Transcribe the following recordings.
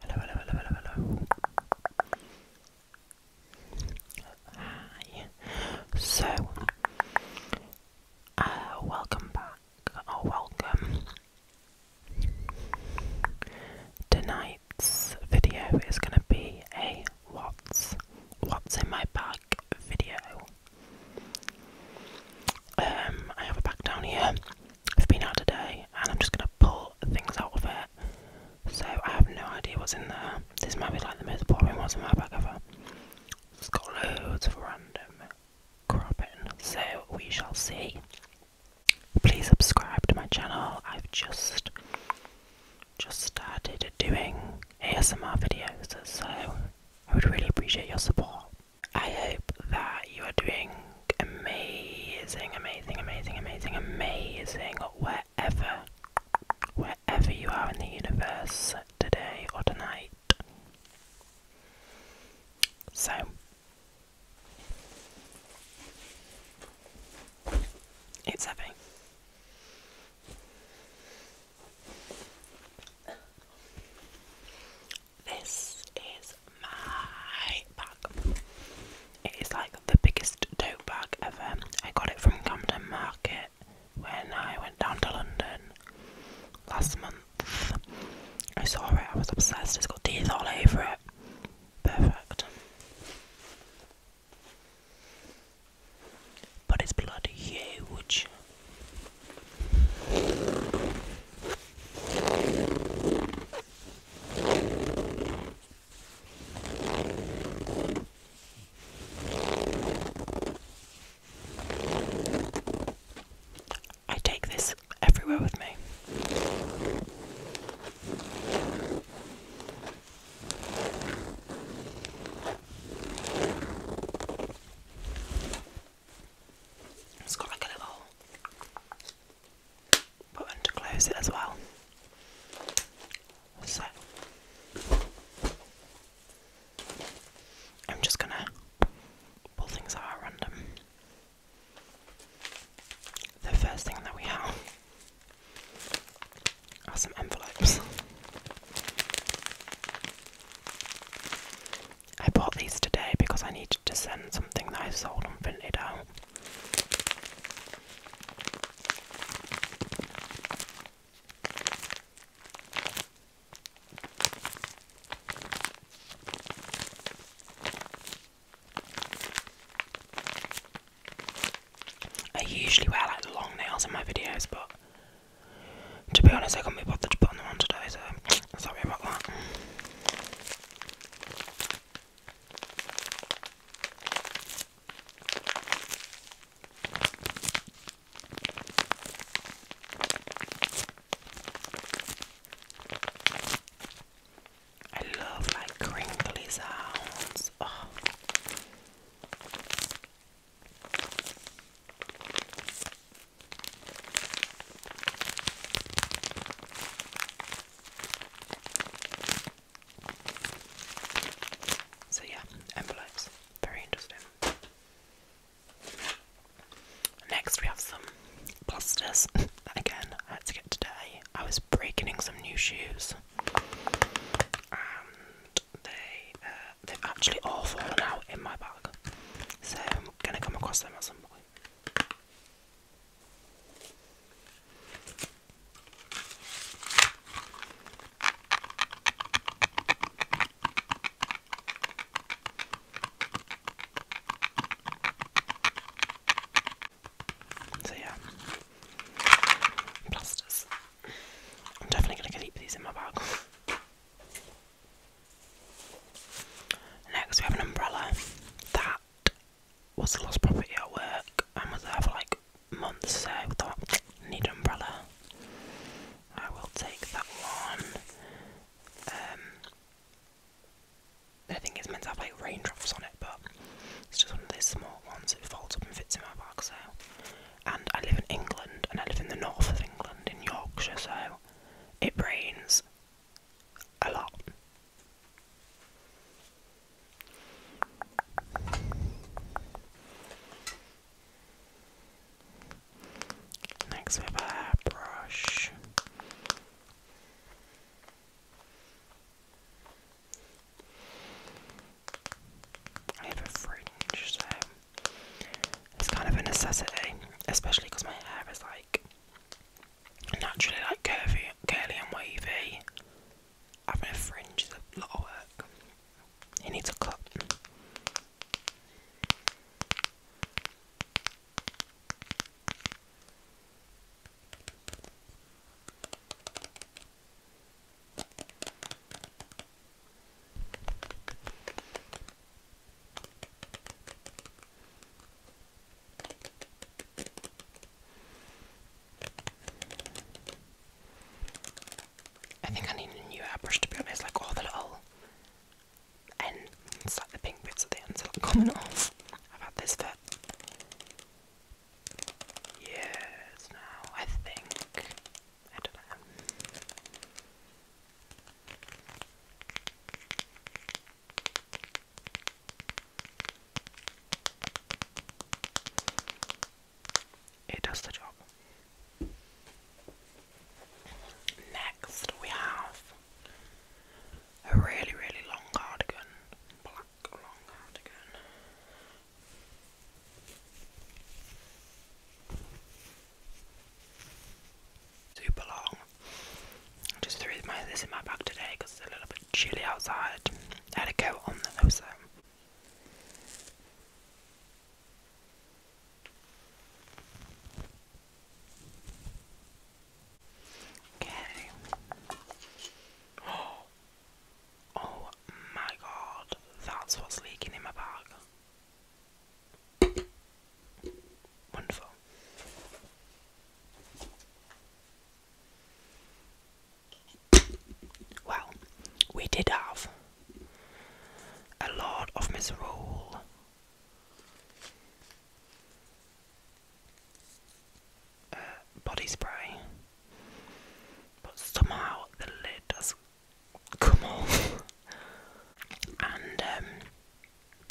Hello, hello, hello, hello, hello. Hi. So, uh, welcome back, or welcome. Tonight's video is going to be a what's what's in my bag video. Um, I have a bag down here. I've been out today, and I'm just going to pull things out of it. So I have no idea what's in there. This might be like the most boring ones in my bag ever. It's got loads of random crap in. So we shall see. Please subscribe to my channel. I've just just started doing ASMR videos, so I would really appreciate your support. I hope that you are doing amazing, amazing, amazing, amazing, amazing wherever, wherever you are in the universe today or tonight. So, it's happening. This is my bag. It is like the biggest tote bag ever. I got it from Camden Market when I went down to London last month. I saw it, I was obsessed. It's got teeth all over it. Perfect. But it's bloody huge. I take this everywhere with me. It's got like a little button to close it as well. So I'm just gonna pull things out at random. The first thing that we have are some envelopes. I bought these today because I needed to send something that I sold on printed out. I usually wear like long nails in my videos, but to be honest, I can't be bothered to put them on today, so sorry about that. I love like crinkly sounds. Oh. So yeah, envelopes. Very interesting. Next we have some blasters. Again, I had to get today. I was breaking some new shoes. And they, uh, they've actually all fallen out in my bag. So I'm going to come across them at some point. So yeah, plasters. I'm definitely going to keep these in my bag. Next, we have an umbrella that was lost property at work and was there for like months, so I thought, need an umbrella. I will take that one. I um, think it's meant to have like raindrops on it, but it's just one of those small ones It folds up and fits in my bag. So, and I live in England, and I live in the north of England, in Yorkshire, so it rains a lot. Next we have a hairbrush. I have a fringe, so it's kind of a necessity, especially because my hair is like naturally like curvy, curly and wavy. Having a fringe is a lot of work. It needs a cut. I think I need a new airbrush to be honest, like all the little and like the pink bits at the end are coming off. I've had this for years now, I think. I don't know. It does the job. Next, we have a really, really long cardigan, super long. I just threw my, this in my bag today because it's a little bit chilly outside. I had a coat on though, so. Okay. Oh. oh my god, that's what's leaking in my bag. Wonderful. Well, we did have a lot of misrule. Uh, body spray, but somehow the lid has come on. and um,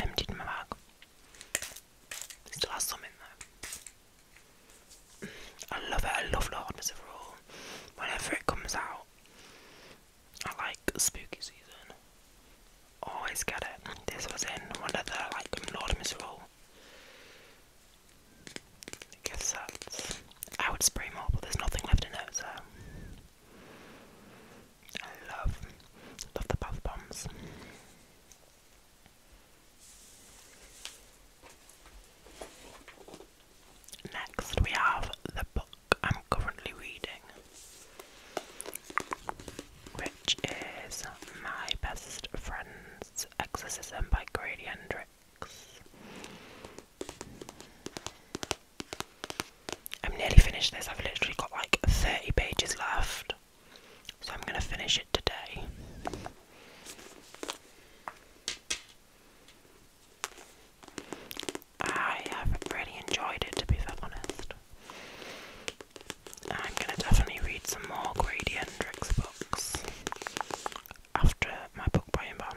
emptied my bag. Still has some in there. I love it. I love Lord of Roll. Whenever it comes out, I like spooky season. Always get it. This was in one of the like Lord Miserable Guess sets. I would spray more, but there's nothing left in it, so I love, love the bath bombs. Next, we have the book I'm currently reading, which is My Best Friend's Exorcism by Grady Hendrix. I'm nearly finished this. I've literally got like 30 pages left. So I'm going to finish it today. I have really enjoyed it, to be honest. I'm going to definitely read some more Grady books after my book buying ban.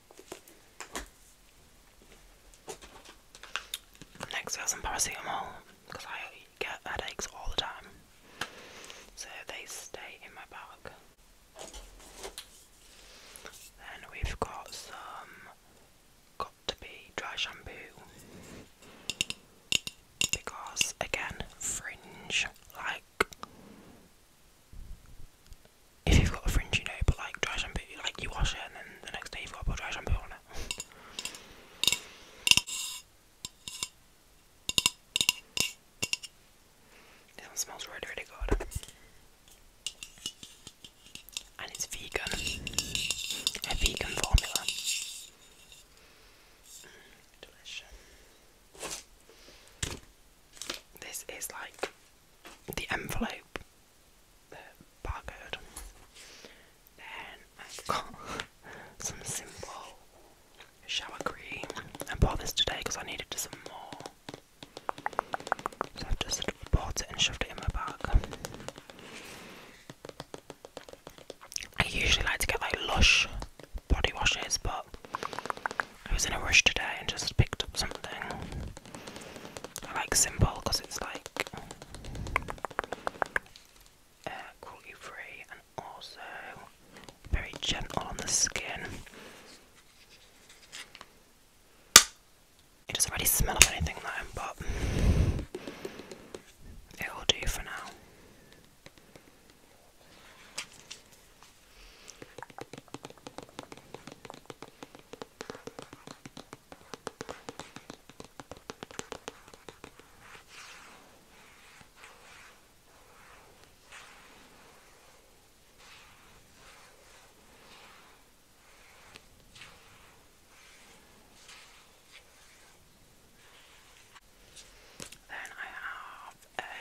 Next, I got some paracetamol because I get headaches all the time, so they stay in my bag. Then we've got some got to be dry shampoo because again, fringe like if you've got a fringe, you but like dry shampoo, like you wash it and then the next day you've got to dry shampoo on it. this smells really, really good. And it's vegan. A vegan formula. Mm, delicious. This is like the envelope, the barcode. Then I've got some simple shower cream. I bought this today because I needed some more. So I've just bought it and shoved it in my bag. I usually like to get like lush body washes, but I was in a rush today and just picked up something. I like simple because it's like uh, cruelty free and also very gentle on the skin. It doesn't really smell of anything though, but it will do for now. Then I have a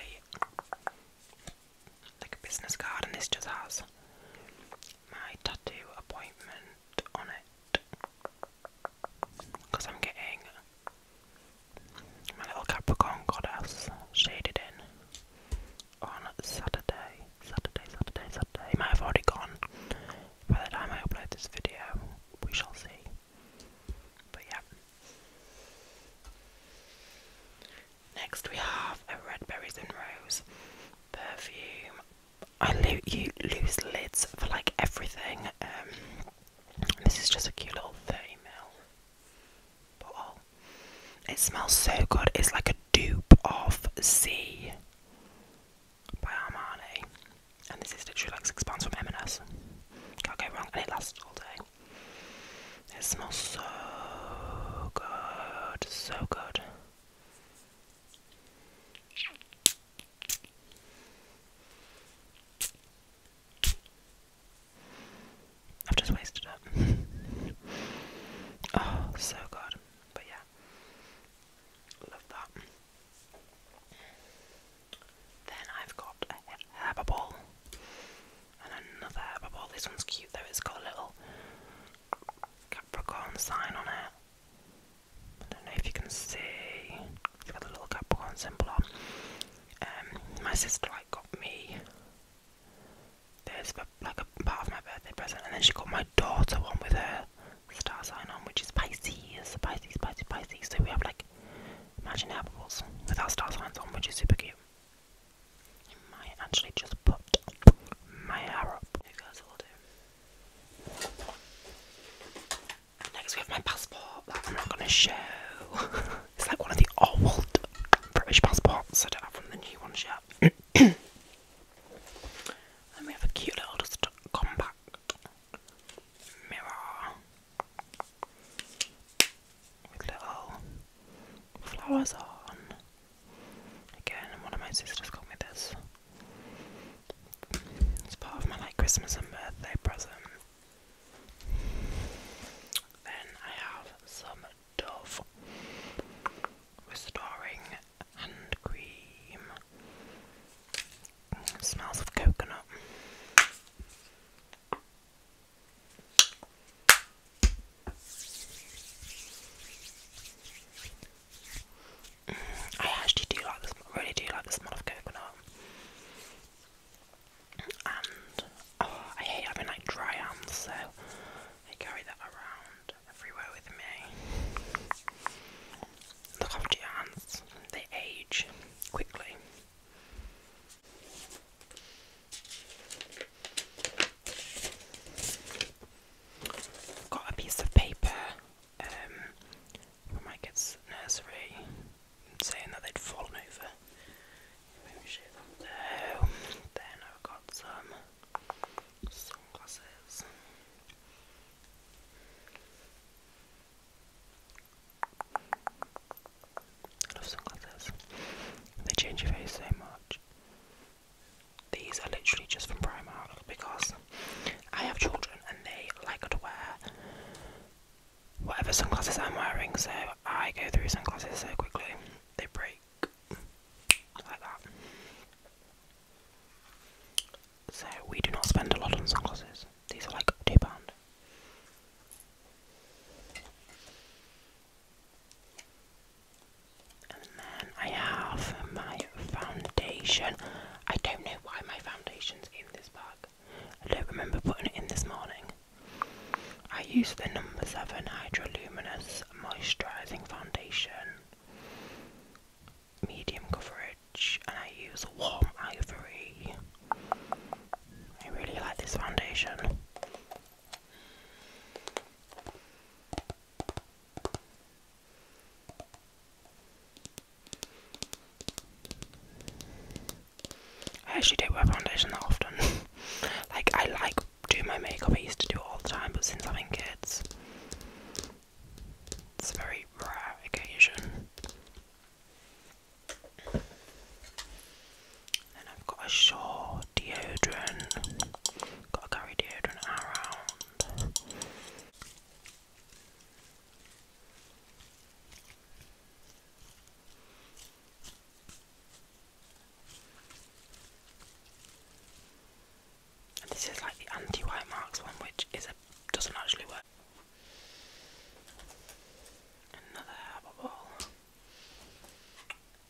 like a business card, and this just has my tattoo appointment on it. Because I'm getting my little Capricorn goddess shaded in on Saturday. Saturday, Saturday, Saturday. It might have already gone by the time I upload this video. We shall see. But yeah. Next we have a red berries and rose perfume. I lo you lose lids for like everything. Um, this is just a cute little 30 ml bottle. It smells so good. It's like a dupe of C by Armani, and this is literally like six pounds from M&S. Can't go wrong, and it lasts all day. It smells so good, so good. I've just wasted it. oh, so good. But yeah, love that. Then I've got a herbal and another herbivore. This one's cute though, it's got a little Capricorn sign on it. I don't know if you can see. It's got a little Capricorn symbol on. Um, my sister like got me this like a part of my birthday present, and then she got my daughter one with her star sign on, which is Pisces, Pisces, Pisces, Pisces. So we have like imagine apples with our star signs on, which is super cute. I actually just put my hair up. You guys will do. Next we have my passport I'm not going to show. it's like one of the old British passports. I don't have one of the new ones yet. then we have a cute little compact mirror with little flowers on. Again, one of my sisters got me this. It's part of my like Christmas and birthday present. Then I have some Dove Restoring Hand Cream. smells of coconut. I actually do like this. Really do like the smell of coconut. And oh, I hate having like dry hands, so I carry that around everywhere with me. Look after your hands; they age quickly. Got a piece of paper um, from my kid's nursery saying that they'd fallen over. Then I've got some sunglasses. I love sunglasses. They change your face so much. These are literally just from Primark because I have children and they like to wear whatever sunglasses I'm wearing, so I go through sunglasses so quickly. They break like that. So we do not spend a lot on sunglasses. These are like two pound. And then I have my foundation. I don't know why my foundation's in this bag. I don't remember putting it in this morning. I use the number 7 Hydraluminous Moisturising Foundation. Medium coverage, and I use warm ivory. I really like this foundation. I actually don't wear foundation that often. like I like doing my makeup, I used to do it all the time, but since having kids it's a very rare occasion. And I've got a Shaw deodorant. Got to carry deodorant around. And this is like the anti-white marks one, which is a doesn't actually work. Another herbal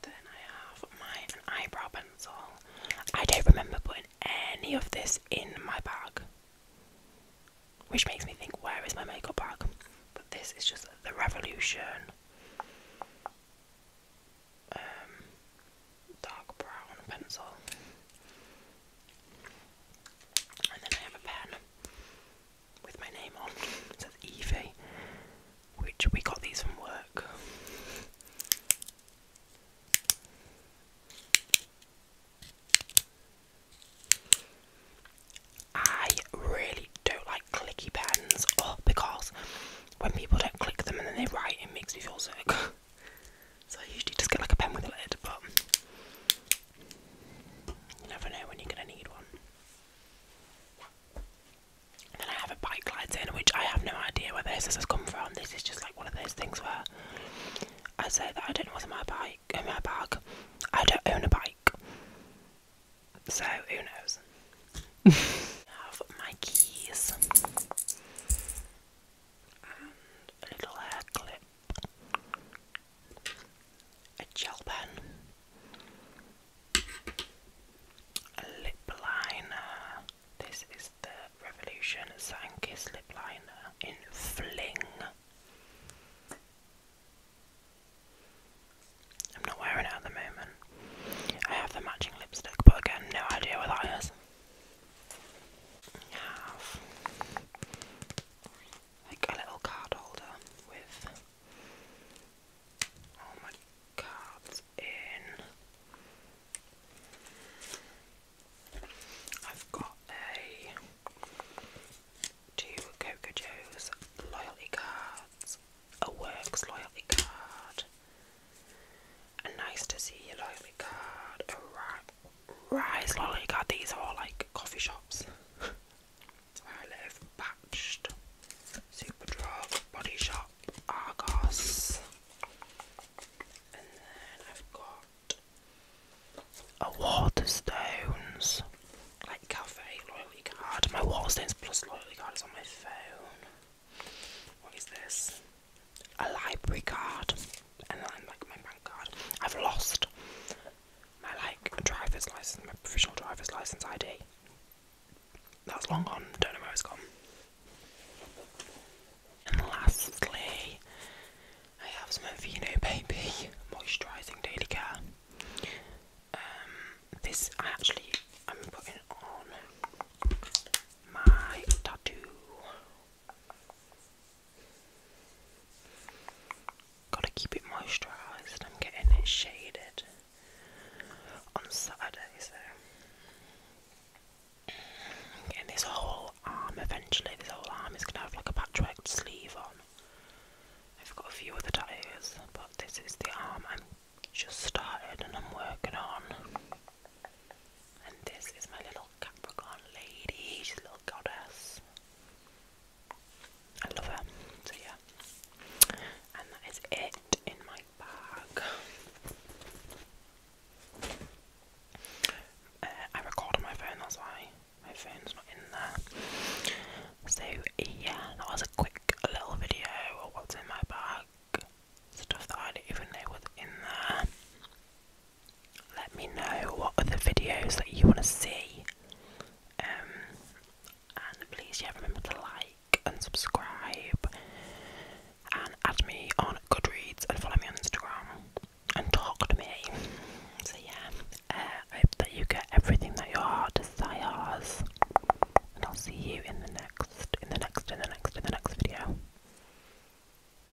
Then I have my eyebrow pencil. I don't remember putting any of this in my bag, which makes me think, where is my makeup bag? But this is just the Revolution um, dark brown pencil. And then I have a pen with my name on. It says Evie, which we got these from work. I really don't like clicky pens, oh, because when people don't click them and then they write, it makes me feel sick. so I usually just get like a pen with a lid, you never know when you're going to need one. then I have a bike glides in, which I have no idea where this has come from. This is just like one of those things where I say that I don't know what's in my bike, in my bag. I don't own a bike, so who knows? I have my keys and a little hair clip a gel pen, a lip liner. This is the Revolution Sankiss lip liner in Fling. I'm not wearing it at the moment. I have the matching lipstick, but again, no idea what that is. I have like a little card holder with all oh my cards in. I've got a two Coco Joe's loyalty cards, a works loyalty card, a nice to see you loyalty card, a right rice lolly. God, these are all like coffee shops where I live. Batched, Superdrug, Body Shop, Argos, and then I've got a Waterstones like cafe loyalty card. My Waterstones plus loyalty card is on my phone. What is this? A library card and then like my bank I've lost my like driver's license, my professional driver's license ID. That's long gone. Don't know where it's gone. And lastly, I have some Aveeno Baby Moisturising Daily Care. Um, this I actually I'm putting on my tattoo Gotta keep it moisturised. I'm getting it shaded on Saturday, so getting this whole arm eventually. This whole arm is gonna have like a patchwork sleeve on. I've got a few other tattoos, but this is the arm I'm just started and I'm working on. And this is my little Capricorn lady, she's a little goddess. I love her. So yeah. And that is it in my bag. Uh, I record my phone, that's why my phone's not in there. So yeah, that was a quick little video of what's in my bag. Stuff that I didn't even know was in there let me know what other videos that you want to see. Um, and please, yeah, remember to like and subscribe, and add me on Goodreads and follow me on Instagram and talk to me. So yeah, uh, I hope that you get everything that your heart desires, and I'll see you in the next, in the next, in the next, in the next video.